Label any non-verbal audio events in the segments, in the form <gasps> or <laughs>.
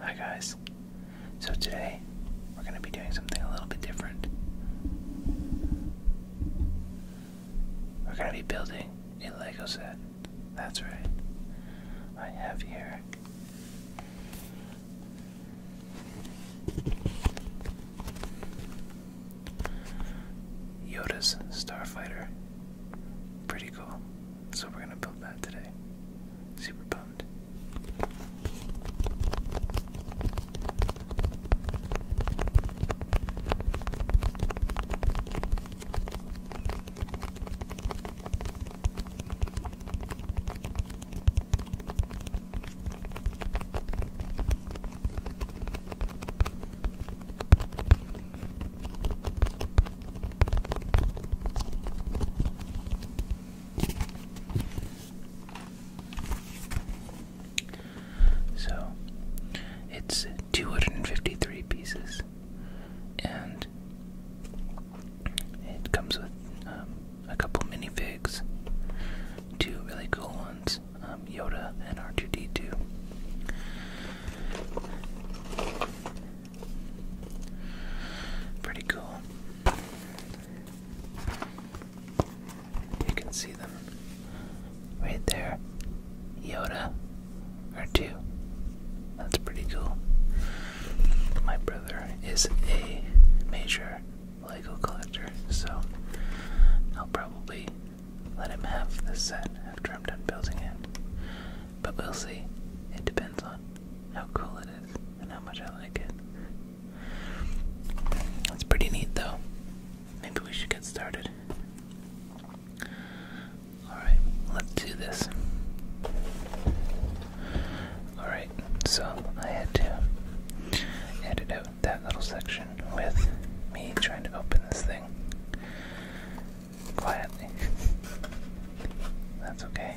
Hi guys. So today we're going to be doing something a little bit different. We're going to be building a Lego set. That's right. I have here Yoda's Starfighter. Pretty cool. So we're gonna build that today. Super pumped. So it's 253 pieces, and it comes with um, a couple minifigs, two really cool ones um, Yoda and R2D2. Pretty cool. You can see them right there. Yoda or two. That's pretty cool. My brother is a major Lego collector, so I'll probably let him have this set after I'm done building it. But we'll see. It depends on how cool it that is and how much I like it. It's pretty neat though. Maybe we should get started. Alright, let's do this. Alright, so I had to edit out that little section with me trying to open this thing quietly. <laughs> That's okay.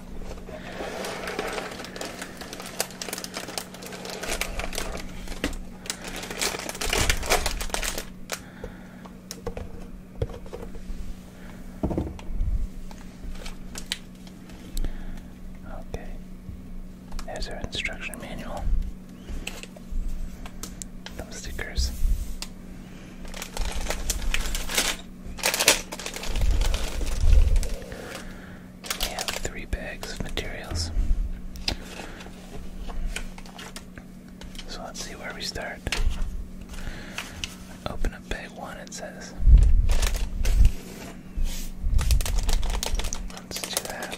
Okay. There's our instruction manual. Some stickers. We have three bags of materials. So let's see where we start. Open up bag one, it says. Let's do that.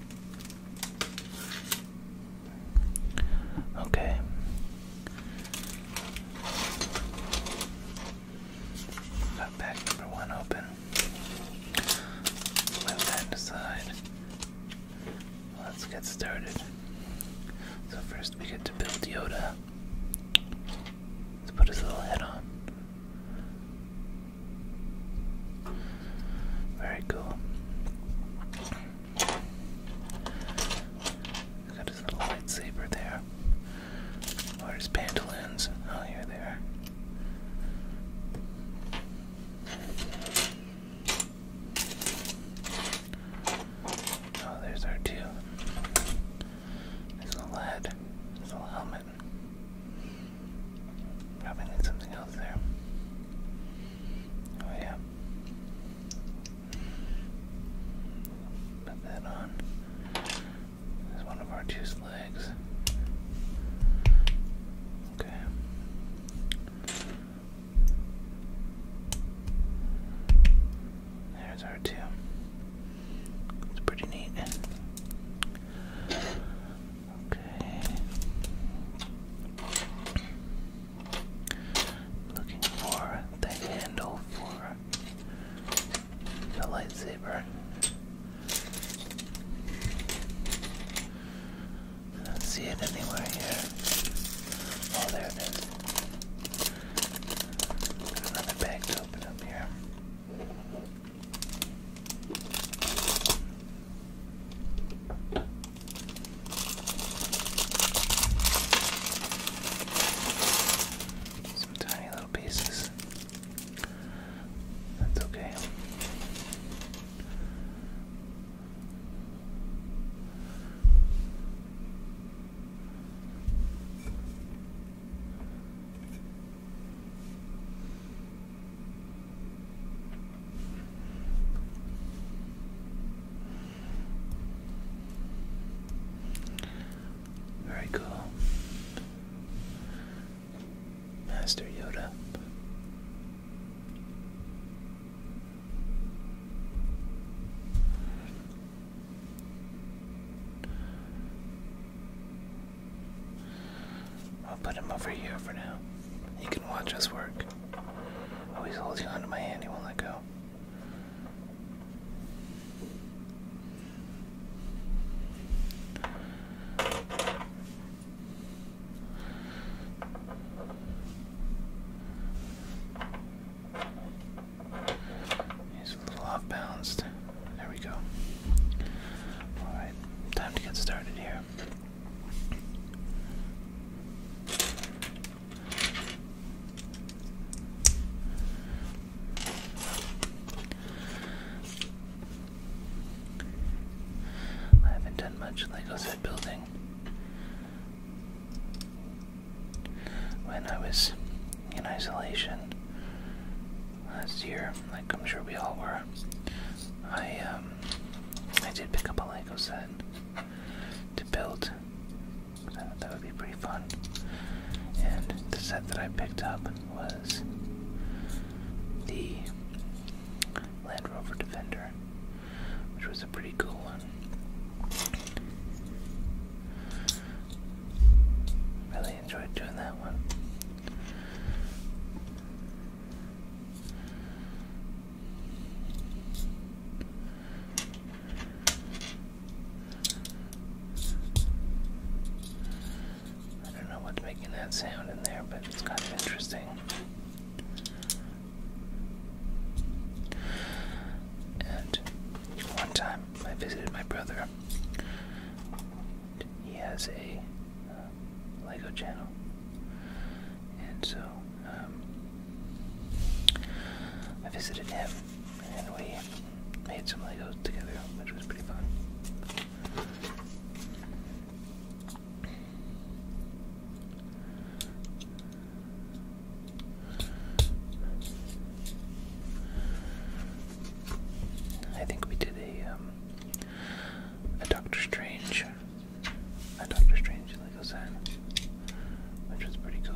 Okay. Got pack number one open. Move that aside. Let's get started. So first we get to build Yoda. Let's put his little head on. Very cool. got his little lightsaber there. Or oh, his pantaloons. Oh, here they are. Oh, there's our two. There's a little head. There's little helmet. Probably need something else there. Oh, yeah. Put that on. There's one of our two legs. Okay. There's our two. It's pretty neat. Okay. Looking for the handle for the lightsaber. I don't see it anywhere here. Oh, there it is. another bag to open up here. Some tiny little pieces. That's okay. Very cool. Master Yoda. I'll put him over here for now. He can watch us work. Oh, he's holding onto my hand. He won't let go. He's a little off balanced. There we go. Alright, time to get started here. I haven't done much Lego set building. When I was in isolation last year, like I'm sure we all were, I um, um, I did pick up a Lego set to build. that would be pretty fun. And the set that I picked up was the Land Rover Defender, which was a pretty cool one. Really enjoyed doing that one. I don't know what's making that sound in there, but it's kind of interesting. And one time I visited my brother. He has a um, Lego channel. And so, um, I visited him and we made some Legos together, which was pretty fun. I think we did a um, a Doctor Strange a Doctor Strange Lego set, which was pretty cool.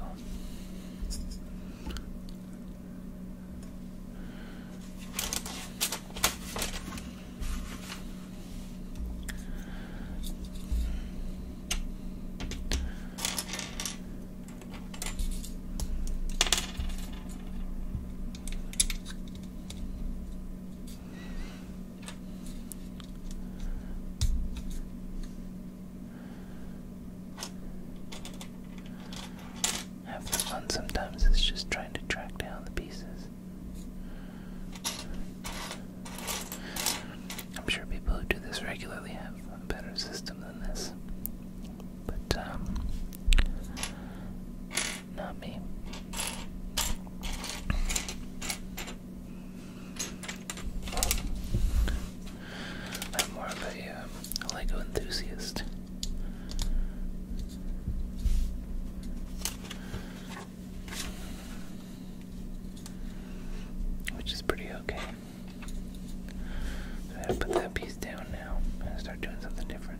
Half fun sometimes It's just trying to track down the pieces. I'm sure people who do this regularly have a better system than this. But, um, not me. I'm more of um, a Lego enthusiast. Which is pretty okay. So I put that piece down now and start doing something different.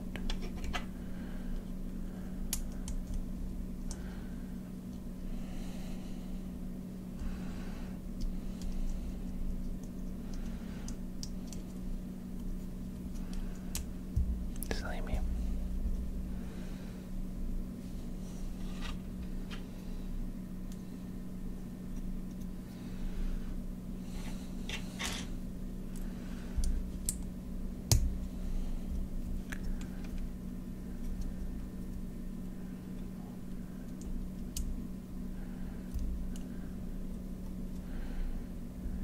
Silly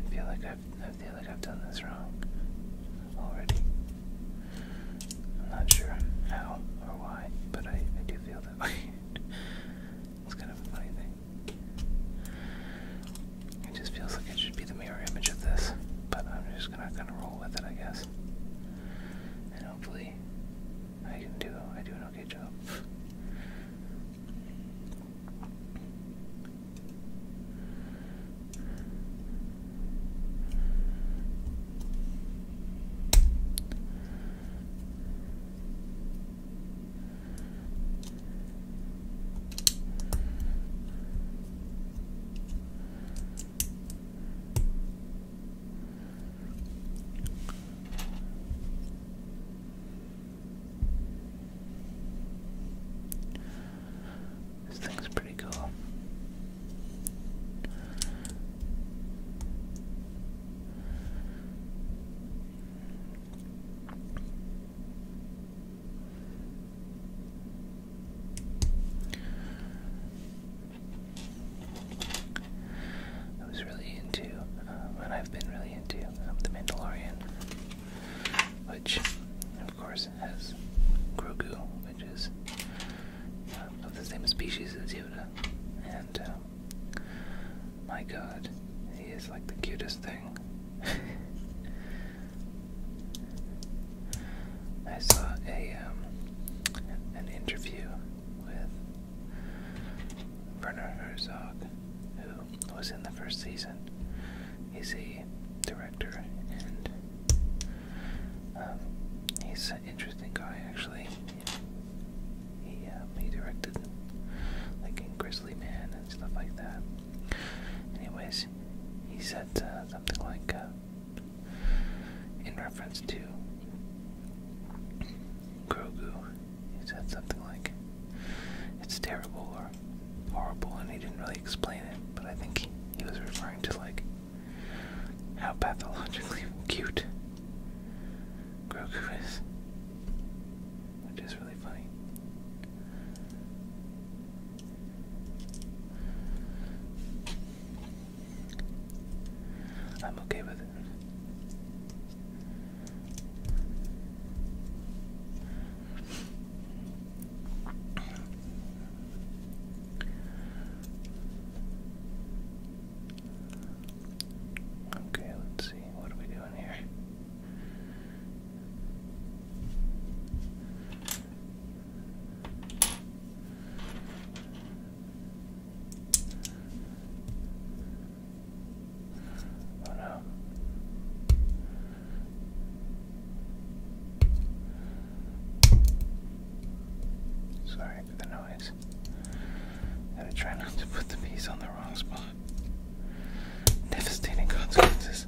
I feel like I've I feel like I've done this wrong already. I'm not sure how or why, but I, I do feel that way. <laughs> it's kind of a funny thing. It just feels like it should be the mirror image of this, but I'm just I'm not gonna roll with it, I guess. And hopefully, I can do I do an okay job. This thing's pretty cool. I was really into, uh, and I've been really into um, The Mandalorian, which, of course, has Grogu, which is um, of the same species as Yoda. And, um, my god, he is like the cutest thing. <laughs> I saw a um, an interview with Werner Herzog, who was in the first season. He's a director, and um, he's an interesting guy, actually. He um, he directed like in Grizzly Man and stuff like that. Anyways, he said uh, something like. Uh, in reference to Grogu. He said something like, it's terrible or horrible, and he didn't really explain it, but I think he, was referring to, like, how pathologically cute Grogu is, which is really funny. I'm okay with it. Okay, let's see. What are we doing here? I no. Sorry for the noise. I to try not to put the piece on the wrong spot. Devastating consequences.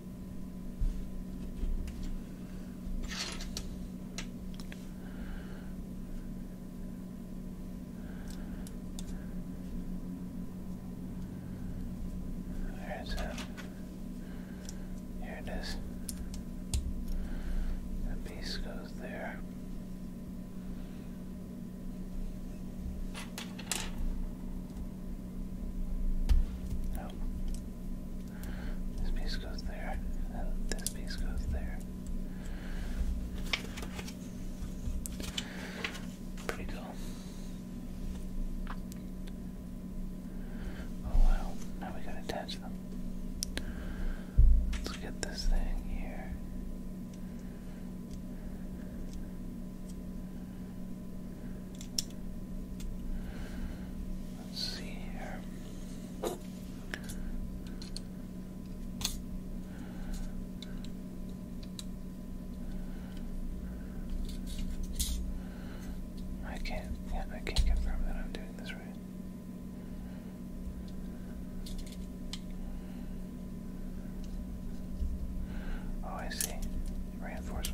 There's a. Here it is. The piece goes there. No. Oh. This piece goes there, and this piece goes there. Pretty cool. Oh wow, now we gotta attach them. Let's get this thing here. Let's see here. I can't. I can't confirm that I'm doing this right. Oh, I see. Reinforce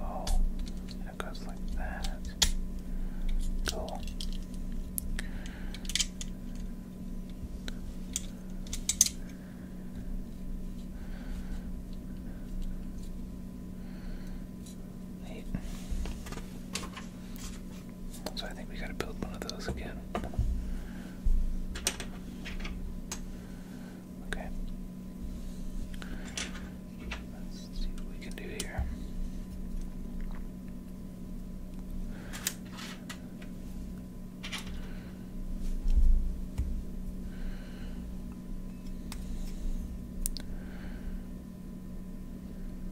Oh, and it goes like that. Cool. Neat. So I think we gotta build one of those again. Okay. Let's see what we can do here.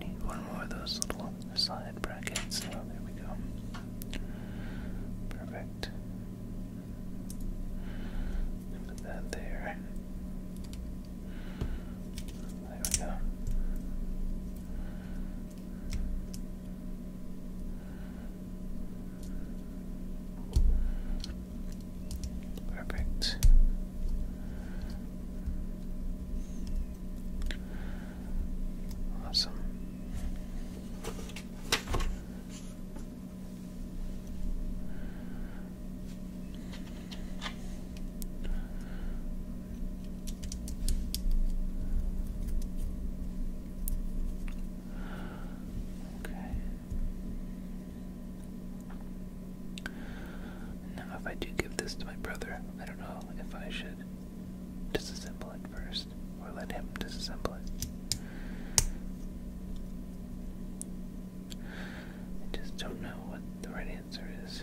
Need one more of those little side brackets. Oh, there we go. Perfect. Put that there. There we go. Perfect. Awesome. Okay. Now, if I do give this to my brother, I don't know if I should disassemble it first or let him disassemble it. I just don't know what the right answer is.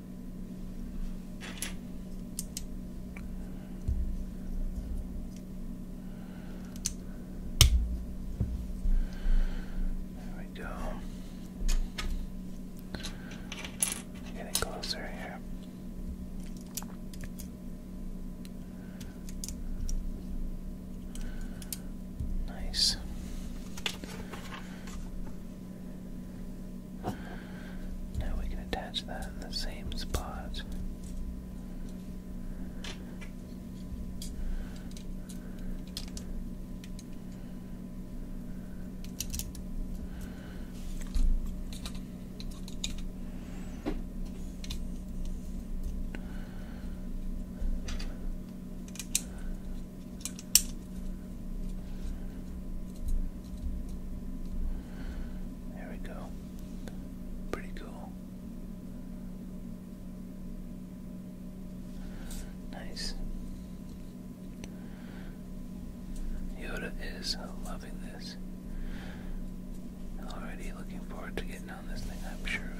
There we go. Getting closer here. Nice. Now we can attach that in the same spot. There we go. Pretty cool. Nice. Yoda is loving this. Already looking forward to getting on this thing, I'm sure of it.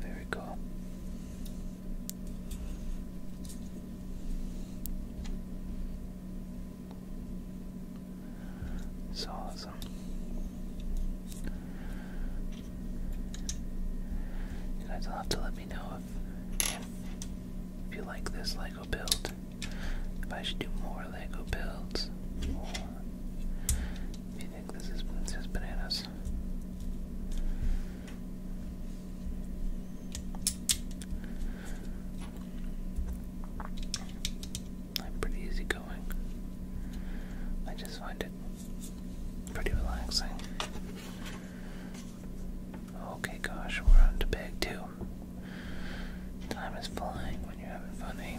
There we go. awesome. You guys will have to let me know if, you like this Lego build. If I should do more Lego builds, I think this is Princess Bananas. I'm pretty easy I just find it pretty relaxing. Okay, gosh, we're on to bag two. Time is flying when you're having fun, eh?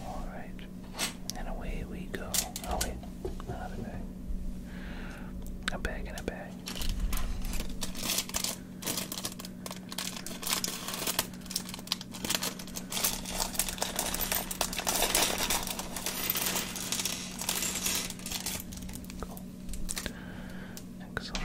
All right, and away we go. Oh wait, another bag. A bag and a bag right. Cool. Excellent.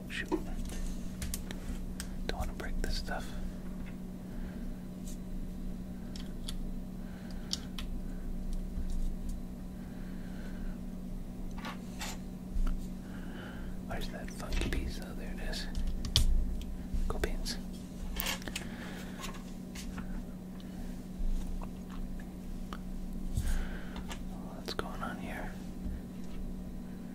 Oh, shoot. Don't want to break this stuff. Where's that funky piece? Oh, there it is. Go beans. What's going on here?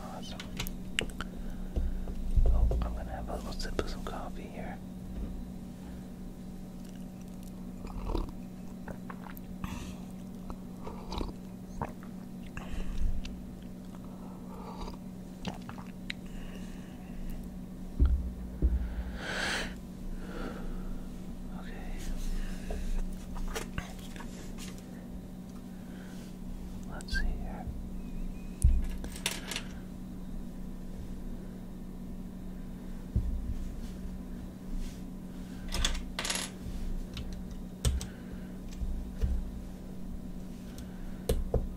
Awesome. Oh, I'm gonna have a little sip of some coffee here. Okay. Let's see here.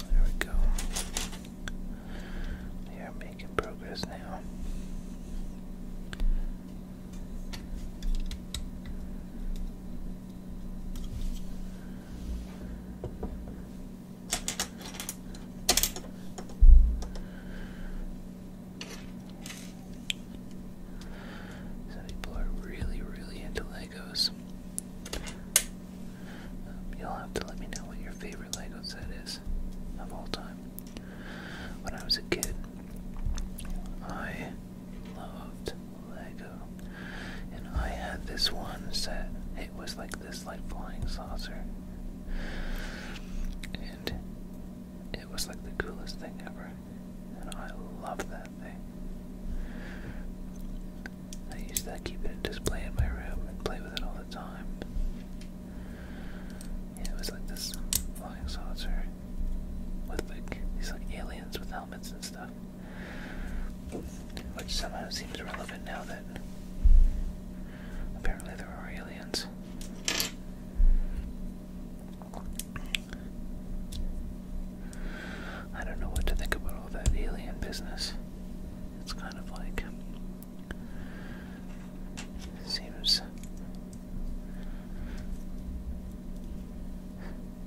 There we go. We are making progress now. So people are really, really into Legos. Um, you'll have to let me know what your favorite Lego set is of all time. When I was a kid, I loved Lego. And I had this one set. It was like this, like flying saucer. And it was like the coolest thing ever. And I loved that thing. I used to keep it in display in my room and play with it all the time. it was like this flying saucer with like these like aliens with helmets and stuff, which somehow seems relevant now that apparently there are aliens. I don't know what to think about all that alien business. It's kind of like seems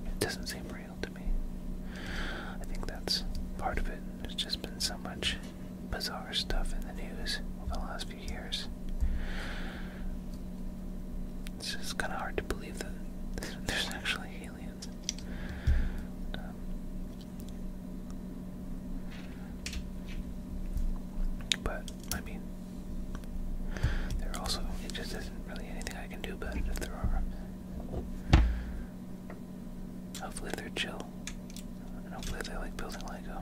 it doesn't seem real to me. I think that's part of it. There's just been so much bizarre stuff in the news over the last few years. It's just kind of hard to believe that <laughs> there's actually aliens. Um, but I mean, there also, it just isn't really anything I can do about it if there are. Hopefully they're chill, and hopefully they like building Lego.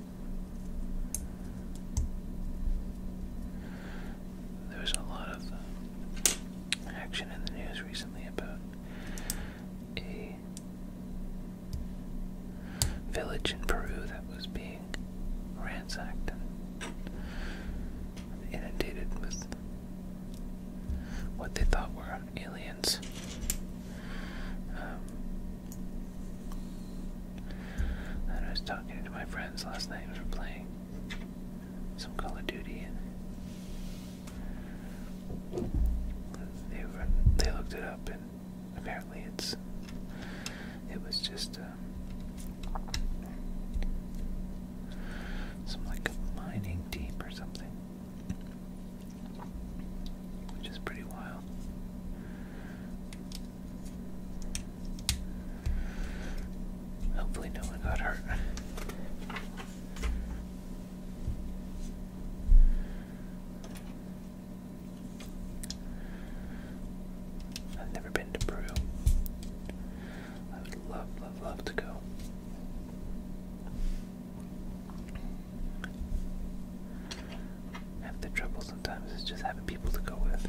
There was a lot of um, action in the news recently about a village in Peru that was being ransacked and inundated with what they thought were aliens. Um, and I was talking to my friends last night, we were playing some Call of Duty, and they looked it up, and apparently it's it was just um, some like mining deep or something, which is pretty wild. Hopefully, no one got hurt. I've never been to Peru. I would love, love, love to go. Half the trouble sometimes is just having people to go with.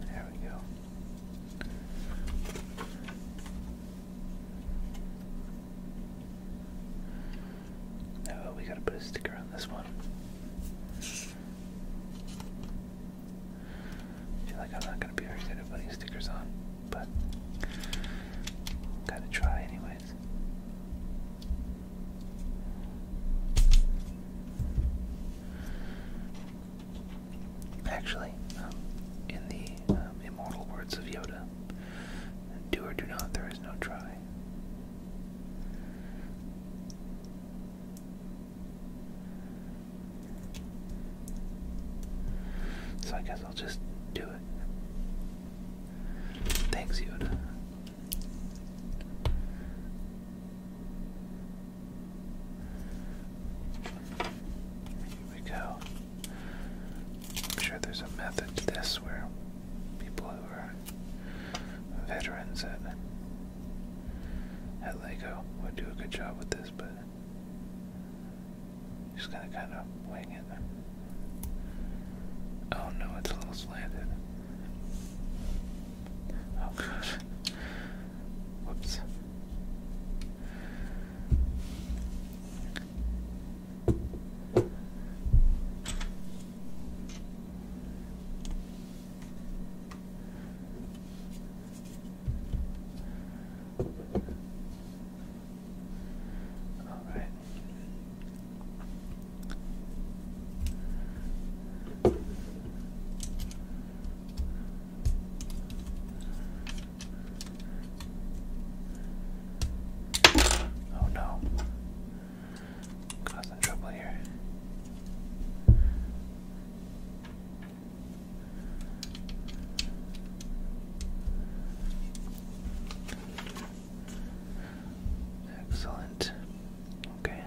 There we go. Oh, we gotta put a sticker on this one. I feel like I'm not gonna be very good at putting stickers on, but gotta try anyways. Actually, um, in the um, immortal words of Yoda, do or do not, there is no try. So I guess I'll just do it. Thanks, Yoda. Here we go. I'm sure there's a method to this where people who are veterans at, at LEGO would do a good job with this, but just gonna kind of wing it. Oh no, it's a little slanted. Oh gosh. Whoops. All right. Oh no. Causing trouble here. Excellent. Okay.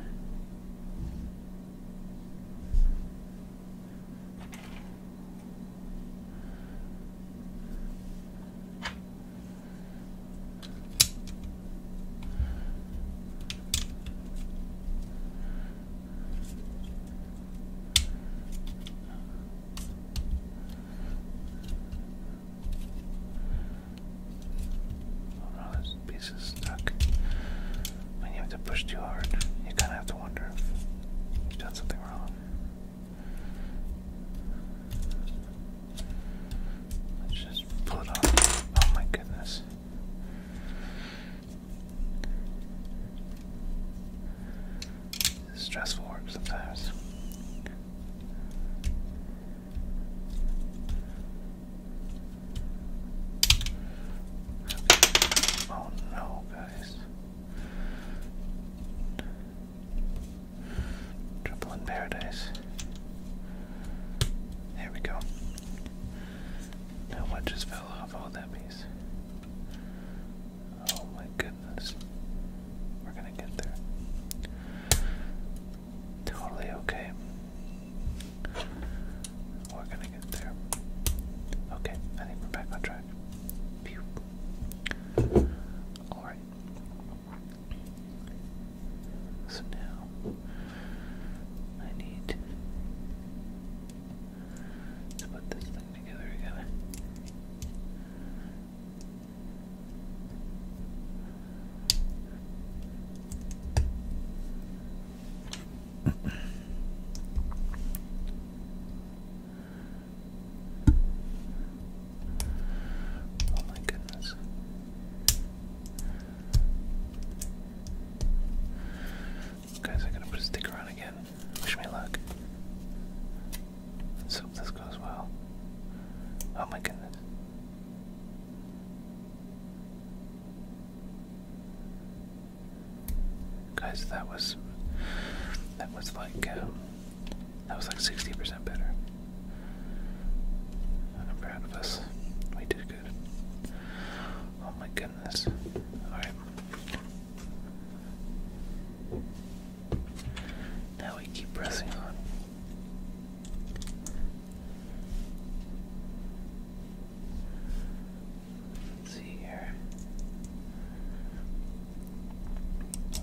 Oh no, this piece is stuck. When you have to push too hard, you kind of have to wonder if you've something wrong. Let's just pull it off. Oh my goodness. Stressful work sometimes. Oh no, guys. Trouble in paradise. There we go. Now what just fell off all oh, that piece? Oh my goodness. We're gonna get there. Totally okay. We're gonna get there. Okay, I think we're back on track. Alright. So now I need to put this thing together again. oh my goodness. Guys, I gotta put a sticker on again. Wish me luck. hope this goes well. Oh my goodness. Guys, that was that was like um, that was like sixty percent better. I'm proud of us. We did good. Oh my goodness. Alright. Now we keep pressing on. Let's see here.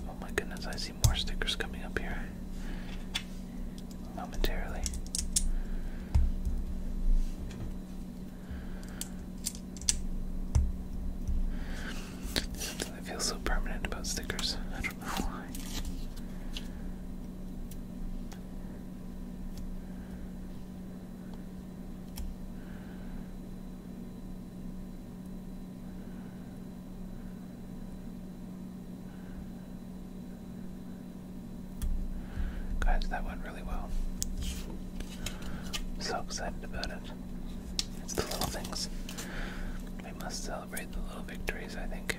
Oh my goodness, I see more stickers coming up here momentarily. Something that feels so permanent about stickers. I don't know why. God, that went really well. I'm so excited about it. It's the little things. We must celebrate the little victories, I think.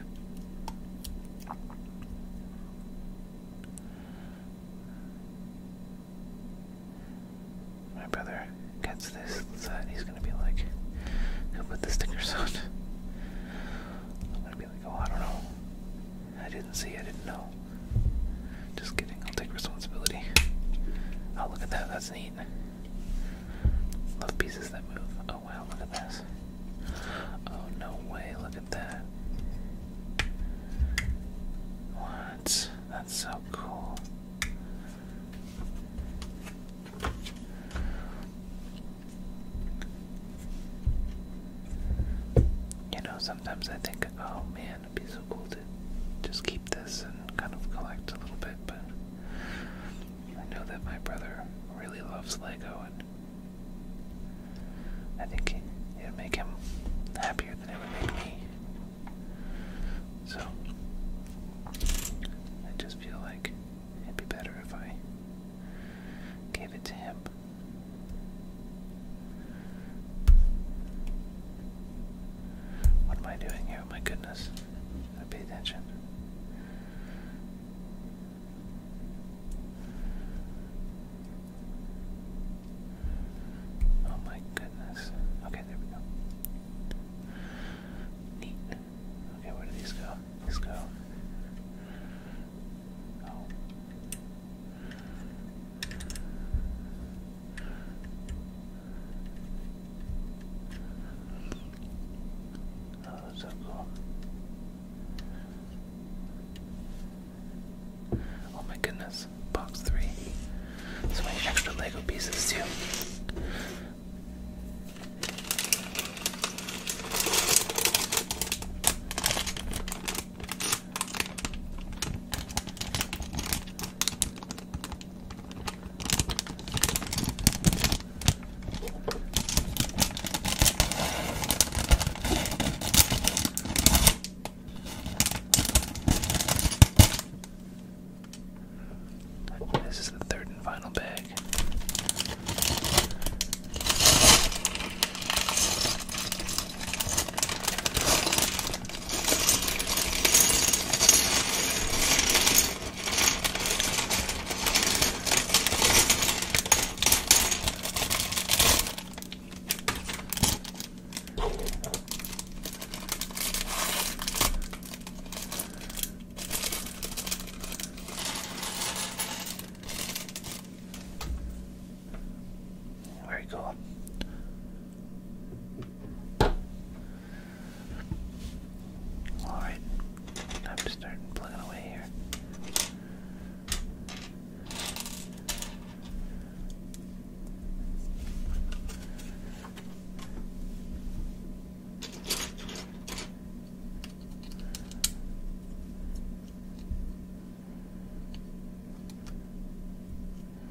My brother gets this set, he's gonna be like, who put the stickers on? I'm gonna be like, oh, I don't know. I didn't see, I didn't know. Just kidding, I'll take responsibility. Oh, look at that, that's neat. Love pieces that move. Oh, wow, look at this. Oh, no way, look at that. What? That's so cool. You know, sometimes I think, oh man, it'd be so cool to just keep this and kind of collect a little bit, but I know that my brother really loves Lego, and I think it would make him happier than it would make me. So, I just feel like it'd be better if I gave it to him. What am I doing here? My goodness. pay attention. Oh my goodness. Okay, there we go. Neat. Okay, where do these go? These go. Oh. Oh, so cool. Oh my goodness, box three. So many extra Lego pieces too. This is the third and final bag. Very cool. Alright, time to start plugging away here.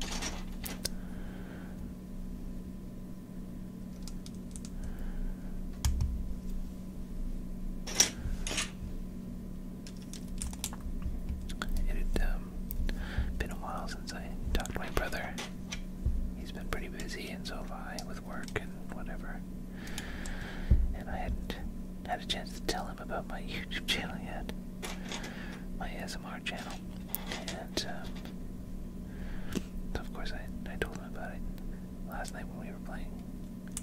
It had um, been a while since I talked to my brother. He's been pretty busy, and so have I, with work and whatever. And I hadn't had a chance to tell him about my <laughs> YouTube channel yet my ASMR channel. And um, so of course I, I told him about it last night when we were playing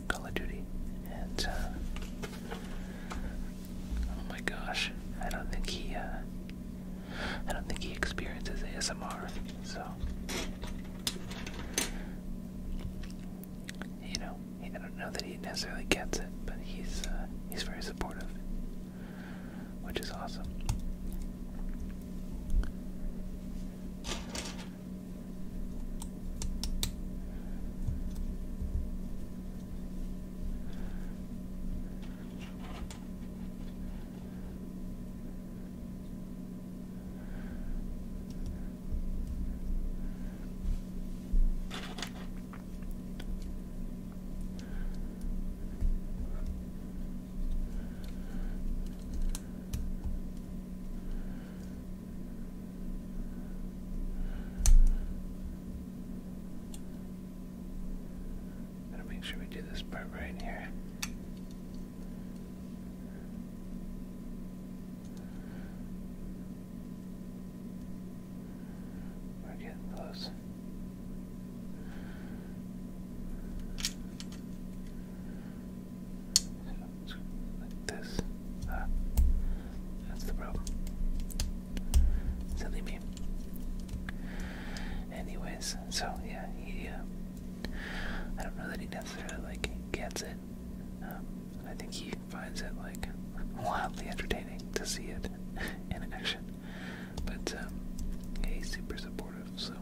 Call of Duty. And uh, oh my gosh, I don't think he uh, I don't think he experiences ASMR. So you know, I don't know that he necessarily gets it, but he's uh, he's very supportive, which is awesome. Gotta make sure we do this part right here. We're getting close. So, like this. Ah, that's the problem. Silly me. Anyways, so yeah, he. Uh, I don't know that he necessarily like gets it. Um, I think he finds it like <laughs> wildly entertaining to see it <laughs> in action. But um, he's super supportive, so.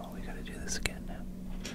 Oh, we gotta do this again now.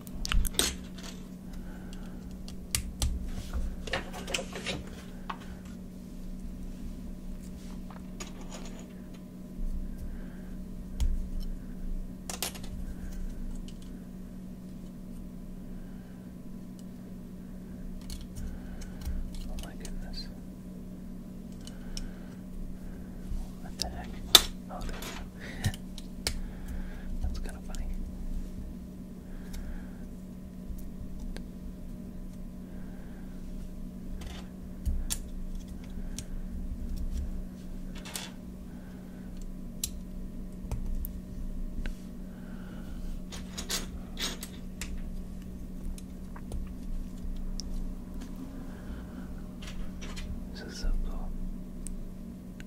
Oh my goodness. What the heck? Oh, there we go. That's kind of funny. This is so cool.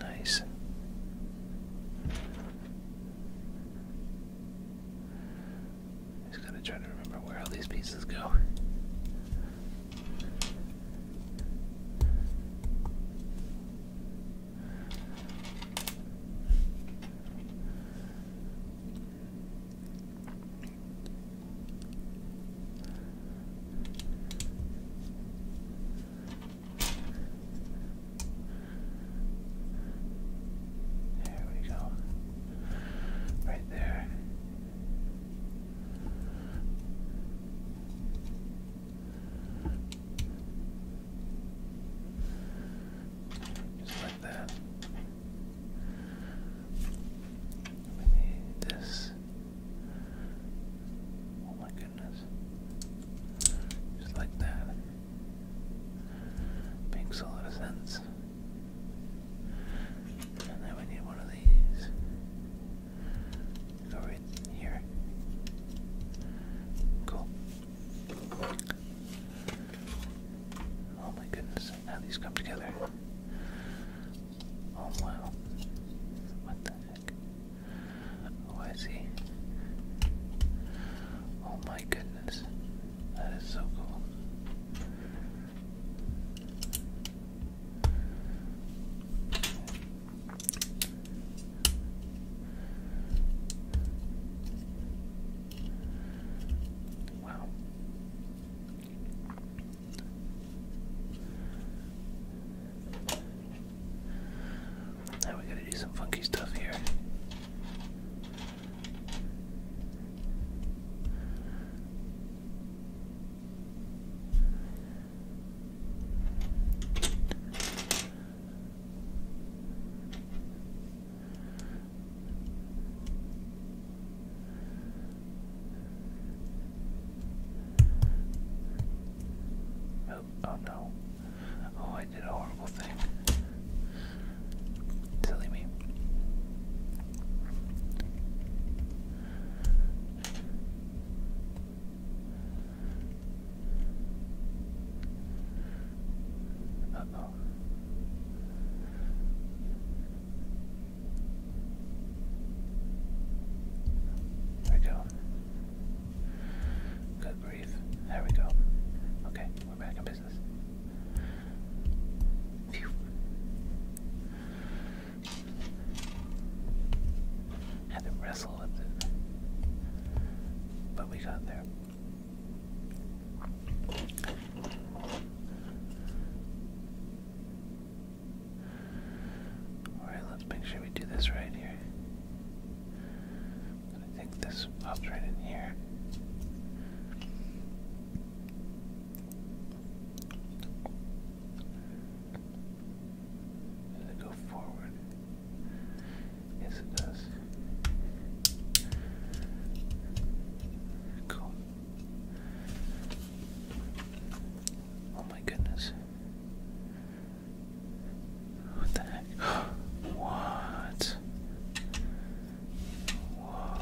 Nice. Just gotta try to remember where all these pieces go. There we go. Right there. Just like that. We need this Oh my goodness. Just like that. Makes a And then we need one of these. Go right here. Cool. Oh my goodness, how these come together. Oh wow. What the Oh, I see. Oh my goodness. That is so cool. Wow. Now we gotta do some funky stuff here. Oh, no. Oh, I did a horrible thing. <laughs> Silly me. Uh oh. There we go. Good grief. There we go. Okay, we're back in business. Had to wrestle with it. But we got there. Alright, let's make sure we do this right here. I think this pops right in here. Does it go forward? Yes, it does. Cool. Oh my goodness. What the heck? <gasps> what? Whoa.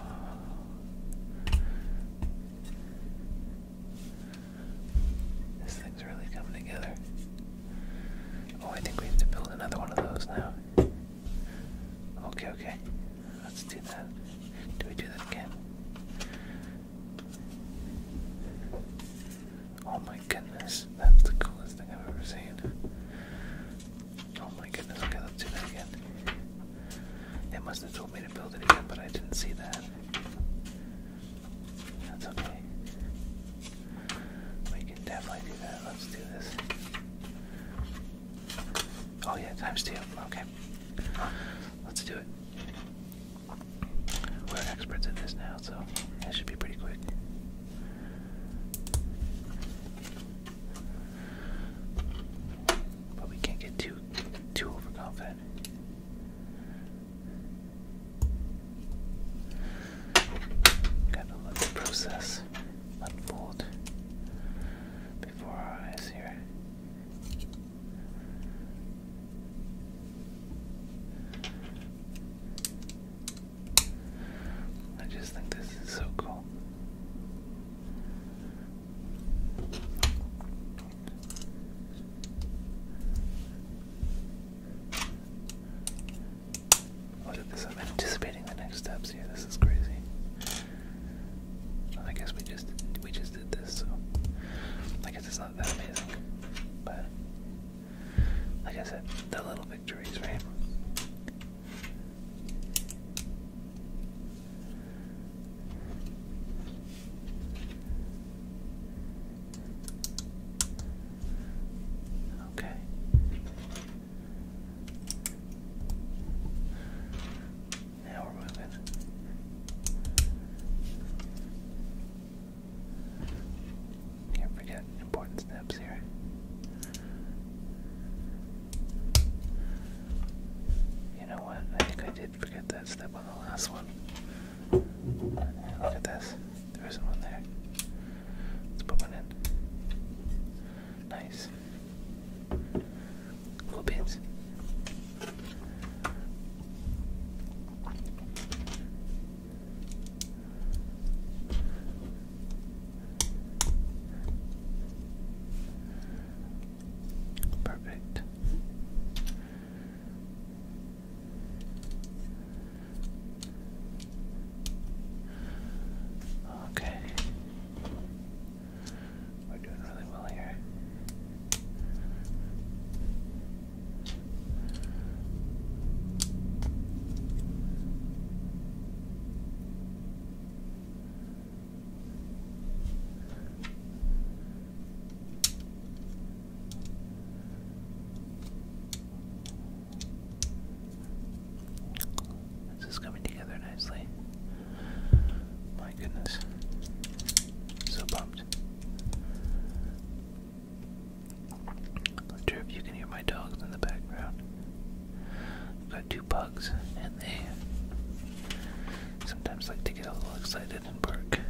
This thing's really coming together. Oh, I think we have to build another one of those now. Okay, okay. Let's do that. Do we do that again? Oh my goodness, that's the coolest thing I've ever seen. Oh my goodness, okay, let's do that again. It must have told me to build it again, but I didn't see that. That's okay. We can definitely do that. Let's do this. Oh yeah, times two. Okay. Let's do it. We're experts at this now, so it should be pretty quick. But we can't get too too overconfident. Gotta let the process unfold before our eyes here. I just think this is so cool. Oh, look at this, I'm anticipating the next steps here. This is crazy. I guess we just we just did this, so I guess it's not that amazing. But like I said, the little victories, right? Okay. Now we're moving. Can't forget important steps here. You know what? I think I did forget that step on the last one. Look at this. There isn't one there. Let's put one in. Nice. Cool beans. Perfect. Okay. We're doing really well here. This is coming together nicely. My goodness. So pumped. I'm not sure if you can hear my dogs in the background. I've got two pugs, and they sometimes like to get a little excited and bark.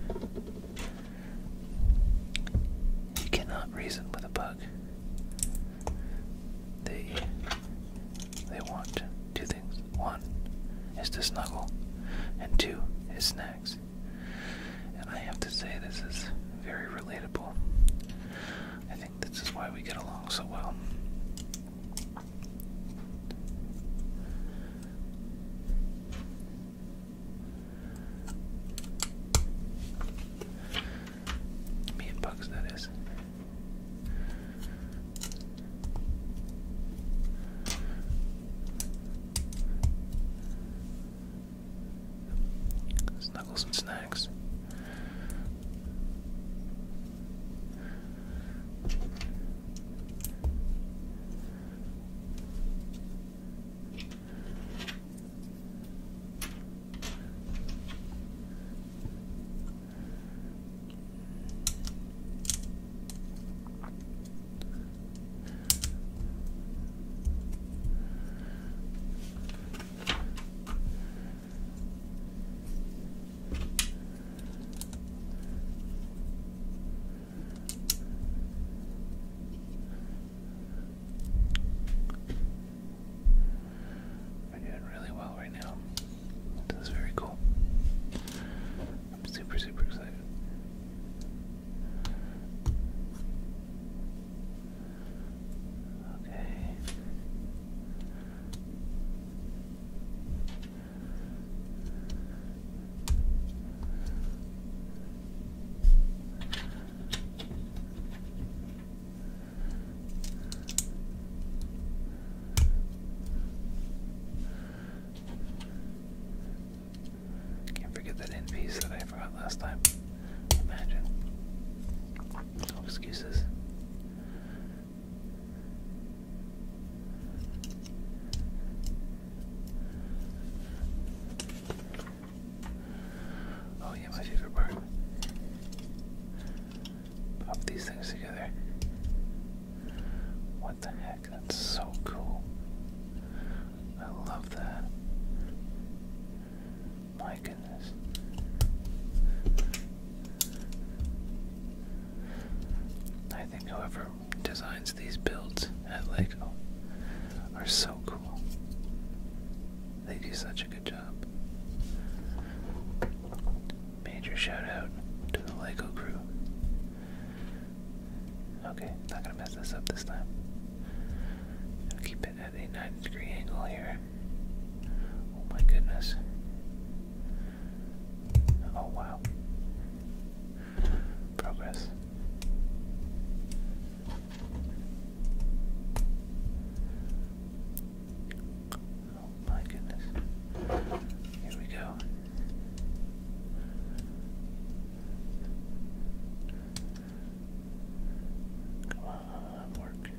You cannot reason with a pug. They they want two things. One is to snuggle, and two is snacks. And I have to say, this is very relatable. I think this is why we get along so well. Me and Bugs, that is. Snuggles and snacks. We're doing really well right now. This very cool. I'm super, super excited. Okay. Can't forget that end piece that I forgot last time. Imagine. No excuses. Oh yeah, my favorite part. Pop these things together. What the heck? That's so cool. I love that. My goodness. I think whoever designs these builds at LEGO are so cool. They do such a good job. Major shout out to the LEGO crew. Okay, not gonna mess this up this time. keep it a 90 degree angle here. Oh my goodness. Oh wow. Progress. Oh my goodness. Here we go. Come on, work.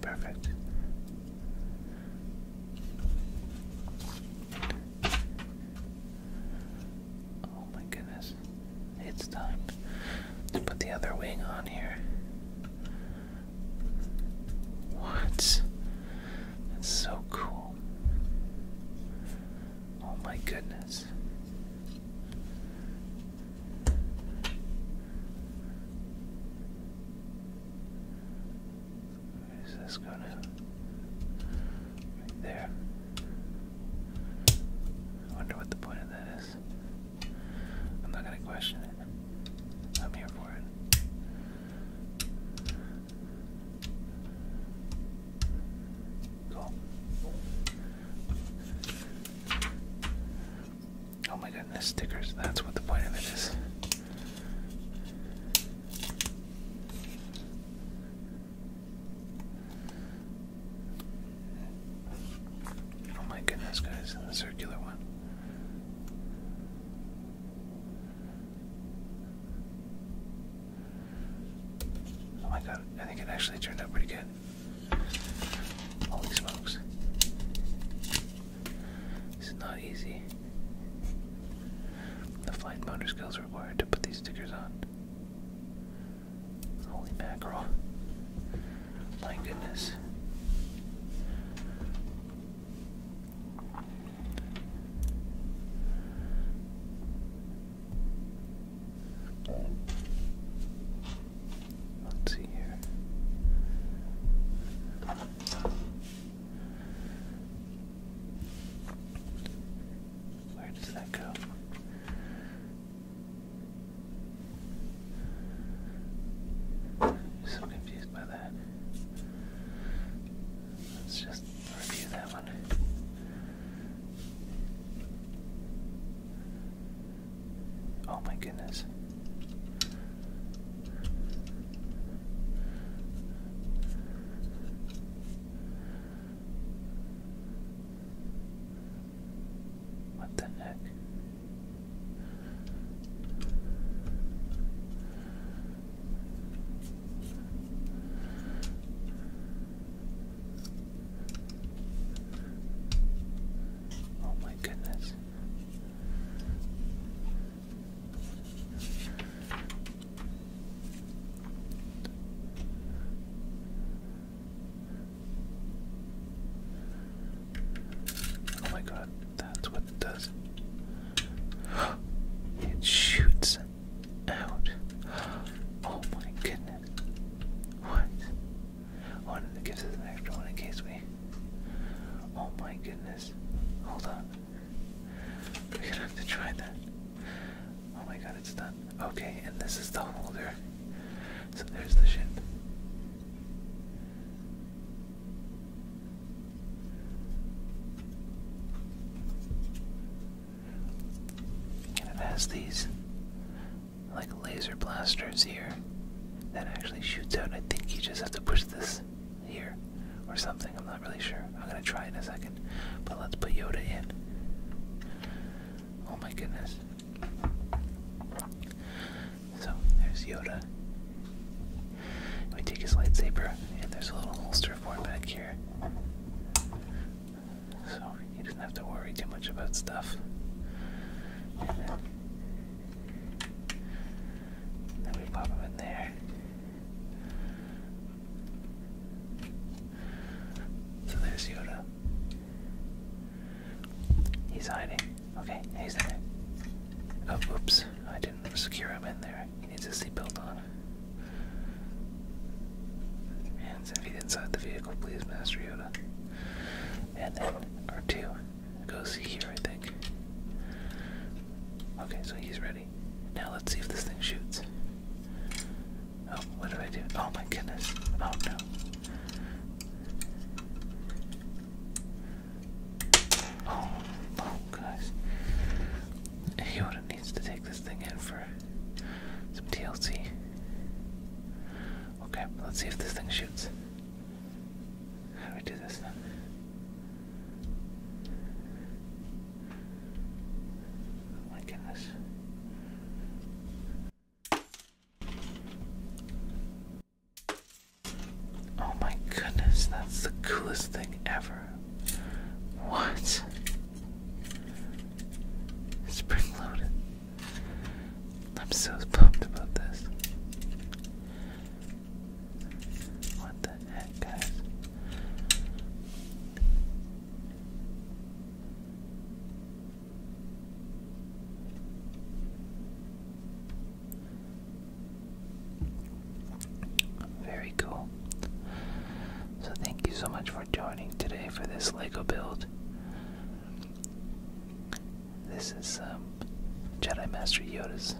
Perfect. Oh my goodness. It's time to put the other wing on here. What? That's so cool. Oh my goodness. Where is this going Right there. I wonder what the point of that is. I'm not gonna question it. I'm here for it. Cool. Oh my god, goodness, stickers, that's what the point of it is. Oh my goodness, guys, the circular one. Oh my god, I think it actually turned out pretty good. Holy smokes. This is not easy. The fine motor skills required to put these stickers on. Holy mackerel. My goodness. Let's see here. Where does that go? so confused by that. Let's just review that one. Oh my goodness. What the heck? Oh my goodness. Oh my god, that's what it does. <gasps> It shoots out. <gasps> Oh my goodness. What? Oh, and it gives us an extra one in case we. Oh my goodness. Hold on. We're gonna have to try that. Oh my god it's done. Okay, and this is the holder. So there's the ship. And it has these like laser blasters here that actually shoots out. I think you just have to push this here or something. I'm not really sure. I'm gonna try in a second. But let's put Yoda in. Oh my goodness. So there's Yoda. We take his lightsaber, and there's a little holster for him back here. So he doesn't have to worry too much about stuff. then we pop him in there. So there's Yoda. He's hiding. Okay, he's there. Oh, oops. I didn't secure him in there. He needs his seatbelt on. Hands and feet inside the vehicle, please, Master Yoda. And then our 2 goes here, I think. Okay, so he's ready. Now let's see if this thing shoots. Oh, what do I do? Oh my goodness. Oh no. Oh, oh, guys. Yoda needs to take this thing in for some TLC. Okay, let's see if this thing shoots. How do we do this now? Oh my goodness. Oh my goodness, that's the coolest thing ever. What? Spring loaded. I'm so pumped about this. What the heck, guys? Very cool. So, thank you so much for joining today for this Lego build. This is um, Jedi Master Yoda's.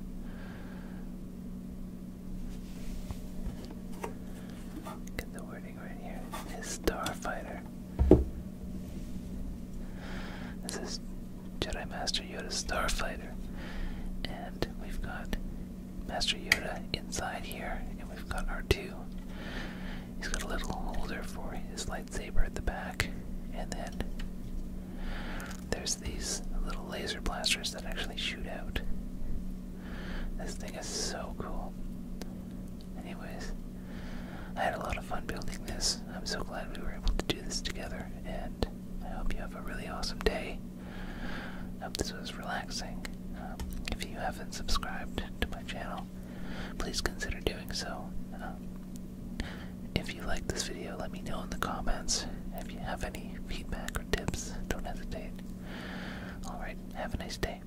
Get the wording right here. His starfighter. This is Jedi Master Yoda's Starfighter. And we've got Master Yoda inside here, and we've got our 2 He's got a little holder for his lightsaber at the back, and then there's these little laser blasters that actually shoot out. This thing is so cool anyways, I had a lot of fun building this. I'm so glad we were able to do this together, and I hope you have a really awesome day. hope this was relaxing. Um, if you haven't subscribed to my channel, please consider doing so. Um, if you like this video, let me know in the comments. If you have any feedback or tips, don't hesitate. Alright, have a nice day.